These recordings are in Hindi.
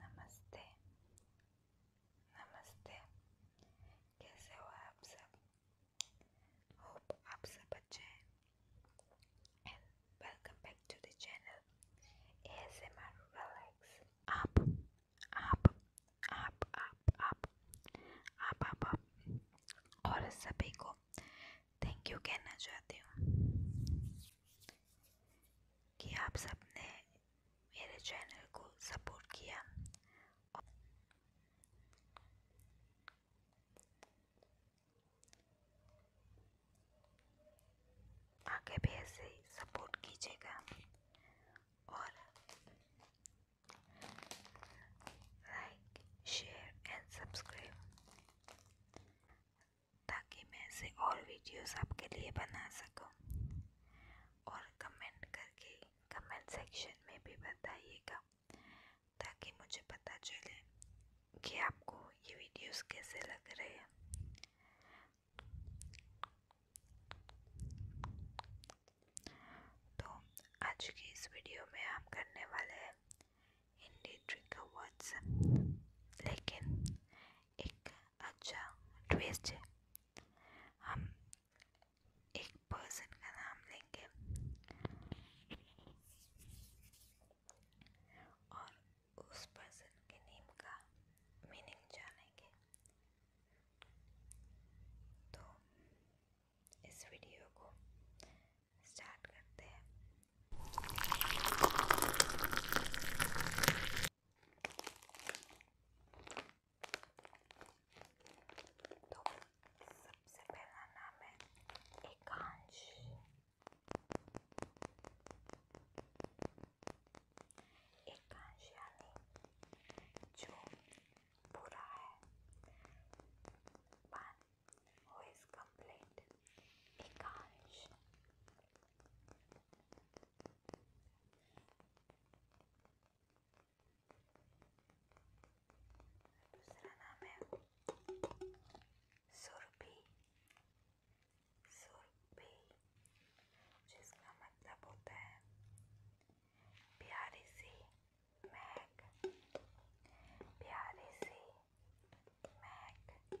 नमस्ते नमस्ते कैसे हो आप सब होप आप सब अच्छे हैं and welcome back to the channel ASMR relax आप आप आप आप आप आप आप आप और सभी को थैंक यू कहना चाहती हूँ कि आप सबने मेरे चैनल को सपोर्ट किया आगे भी ऐसे ही सपोर्ट कीजिएगा और लाइक शेयर एंड सब्सक्राइब ताकि मैं ऐसे और वीडियोस आपके लिए बना सकूं और कमेंट करके कमेंट सेक्शन में भी बताइएगा ताकि मुझे पता चले कि आपको ये वीडियोस कैसे लग रहे हैं तो आज की इस वीडियो में हम करने वाले हैं हिंदी ट्रिक वर्ड्स लेकिन एक अच्छा ट्विस्ट है हम एक पर्सन का नाम लेंगे और उस पर्सन के नेम का मीनिंग जानेंगे तो इस वीडियो को स्टार्ट करते हैं तो सबसे पहला नाम है एकांश एकांश यानी जो बुरा है one who is complete Ekansh दूसरा नाम है सुरभि सुरभि जिसका मतलब होता है प्यारी सी महक प्यारी सी महक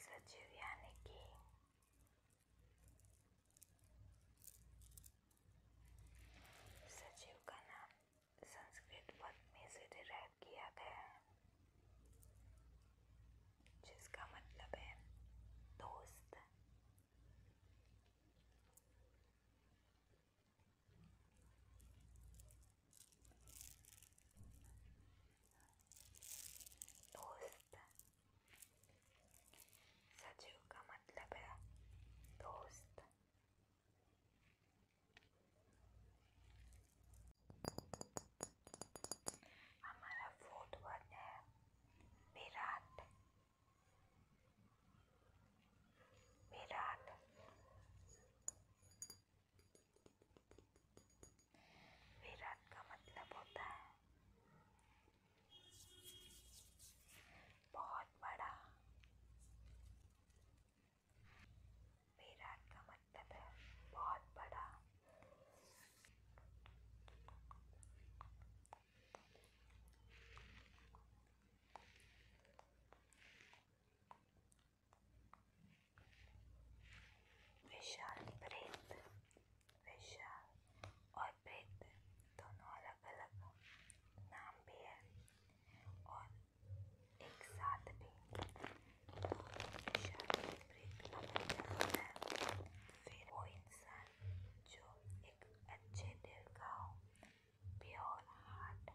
सजीव यानी कि सजीव का नाम संस्कृत पद में से डिराइव किया गया है जिसका मतलब है दोस्त दोस्त सजीव का मतलब है दोस्त हमारा फोर्थ वर्ड है विराट विराट विरत का मतलब होता है बहुत बड़ा विराट का मतलब है बहुत बड़ा विशाल प्रेत विशाल और प्रेत दोनों अलग अलग नाम भी है और एक साथ भी तो विशाल प्रेत का मतलब होता है फिर वो इंसान जो एक अच्छे दिल का हो प्योर हार्ट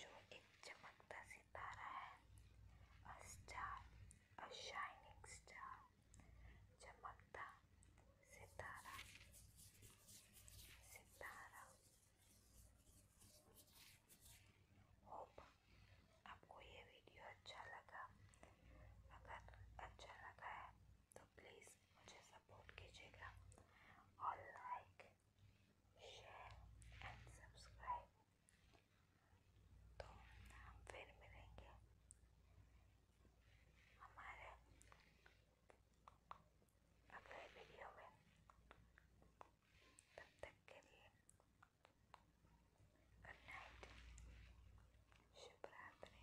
जो एक चमकता सितारा है a star, a shining star, चमकता सितारा सितारा होप आपको ये वीडियो अच्छा लगा अगर अच्छा लगा है तो प्लीज़ मुझे सपोर्ट कीजिएगा और लाइक शेयर एंड सब्सक्राइब तो हम फिर मिलेंगे हमारे अगले वीडियो में तब तक के लिए गुड नाइट शुभ रात्रि